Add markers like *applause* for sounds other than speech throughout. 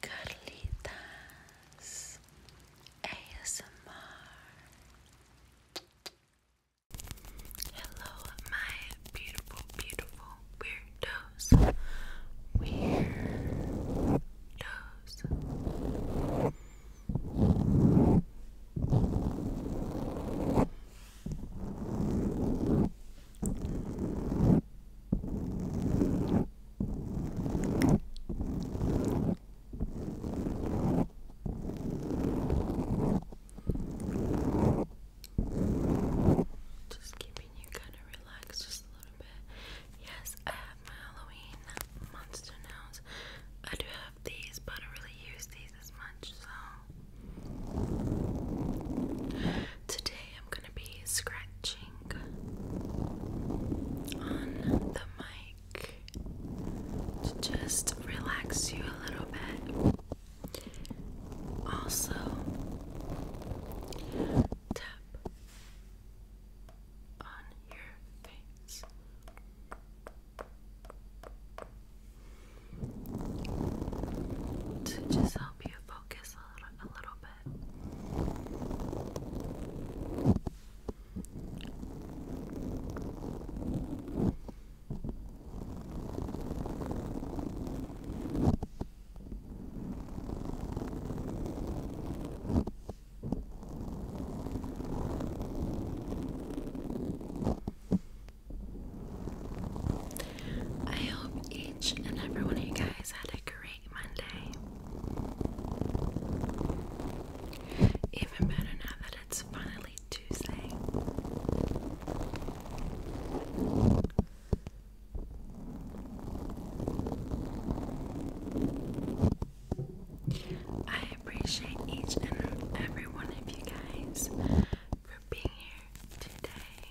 Carlitas ASMR. Hello, my beautiful, beautiful weirdos. Weirdos. Just keeping you kind of relaxed just a little bit. Yes, I have my Halloween monster nails. I do have these, but I really use these as much, so today I'm gonna be scratching on the mic to just relax you a little bit. Also, tap on your face. To just help you focus a little, a I hope each and every one of you guys had a great even better now that it's finally Tuesday. I appreciate each and every one of you guys for being here today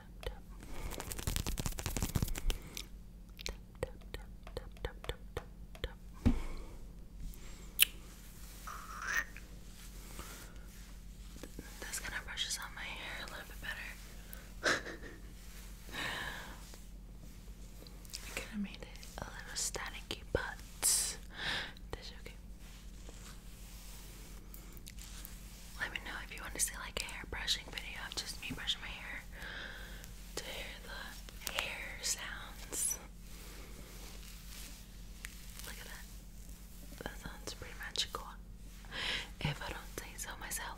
tap, tap. Tap, tap, tap, This kind of brushes on my hair a little bit better. *laughs* I kind of made it a little staticky, but that's okay let me know if you want to see like a hair brushing video of just me brushing my hair to hear the hair sounds. Look at that. That sounds pretty magical. If I don't say so myself.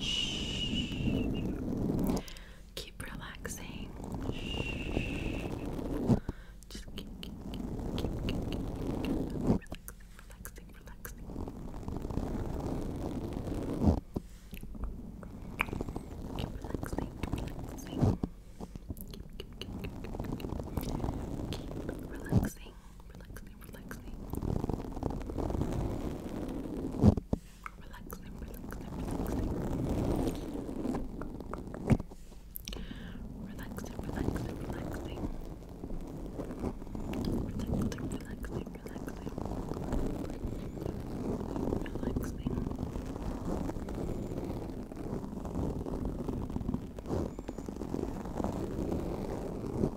Shh. Keep relaxing. Shh. Just keep, keep, keep, keep, keep, keep, keep relaxing, relaxing, relaxing. Keep relaxing, relaxing. Keep, keep, keep, keep, keep, keep, keep relaxing relaxing, relaxing, relaxing, relaxing, relaxing, relaxing, relaxing. Relaxing, relaxing, relaxing. Relaxing.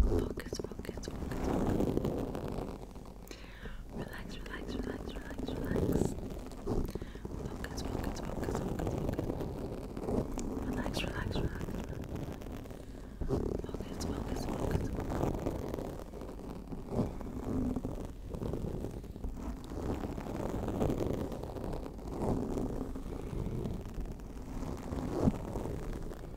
Focus, focus, focus, focus. Relax, relax, relax, relax, relax. Focus, focus, focus, focus, focus. Relax, relax, relax. Focus, focus, focus, focus.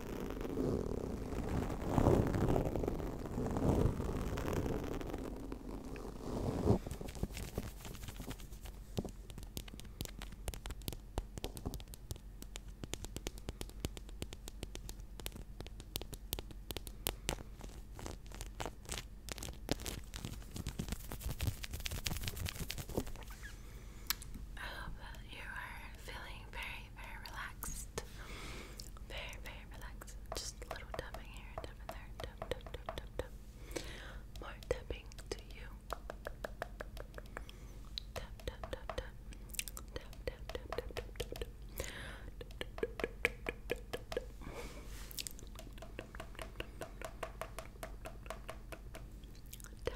I hope you are feeling very, very relaxed. Very, very relaxed. Just a little tapping here, tapping there, tap, tap, tap, tap, tap. More tapping to you. Tap, tap, tap, tap. Tap, tap, tap, tap, tap, tap, tap. Tap,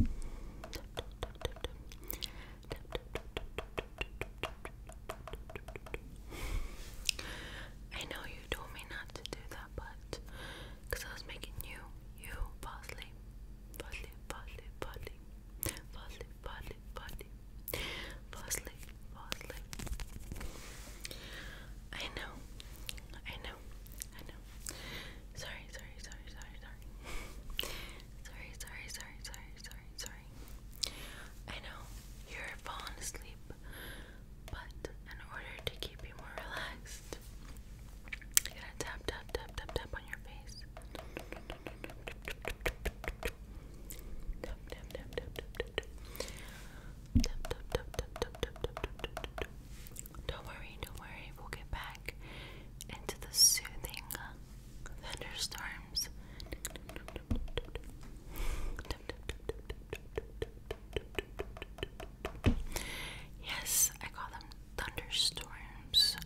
I know you told me not to do that, but because I was making you, you fall asleep, fall asleep, fall asleep, fall asleep, fall asleep, fall asleep, fall asleep, fall asleep, fall asleep. I know, I know, I know. Sorry, sorry, sorry, sorry, sorry. Sorry, sorry, sorry, sorry, sorry, sorry. I know you're falling asleep, but in order to keep you more relaxed, you're gonna tap, tap, tap, tap, tap on your face. Tap, tap, tap, tap, tap, tap, tap. Tap, tap, tap, tap, tap, tap, tap, tap, tap. Don't worry, don't worry. We'll get back into the soothing thunderstorms. Yes, I call them thunderstorms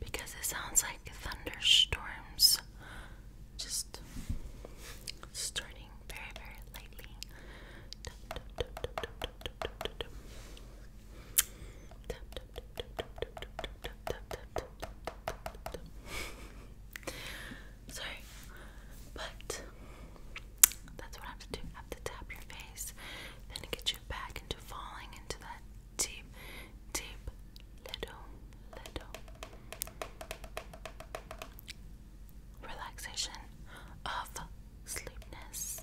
because it sounds like thunderstorms just starting very, very lightly. *laughs* Sorry, but that's what I have to do. I have to tap your face, then it you back into falling into that deep, deep little, little relaxation of sleepness.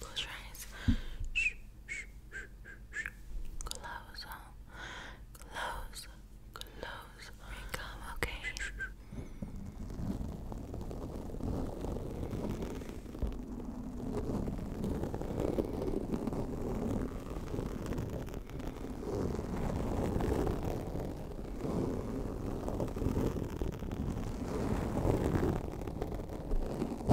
Close your eyes. Shh, shh, shh, shh, shh. Close them. Close. Close. Come, okay. Shh, shh, shh. Good.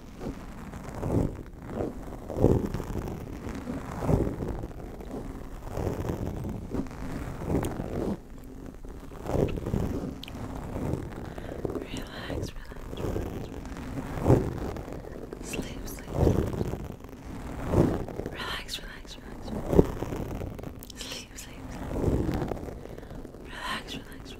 Relax, relax, relax, relax. Sleep, sleep, sleep. Relax, relax, relax. Sleep, sleep, sleep. Relax, relax, relax.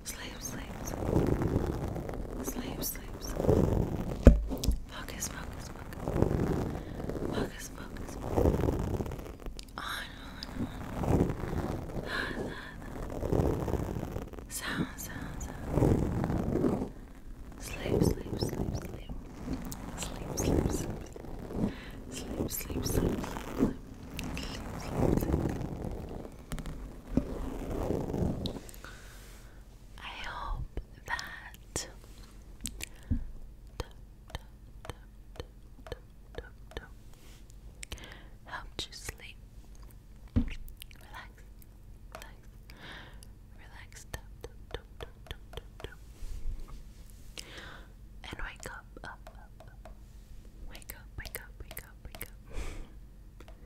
Sleep, sleep, sleep. Sleep, sleep, sleep. Focus, focus, focus. Focus, focus, focus. On, on, on. La, la, la. Sound, sound, sound. Sleep, sleep, sleep, sleep. Sleep, sleep, sleep. Sleep, sleep, sleep, sleep. Sleep, sleep, sleep. sleep. sleep, sleep, sleep. I hope that helped you sleep. Relax, relax, relax, and wake up, wake up, wake up, wake up, wake up.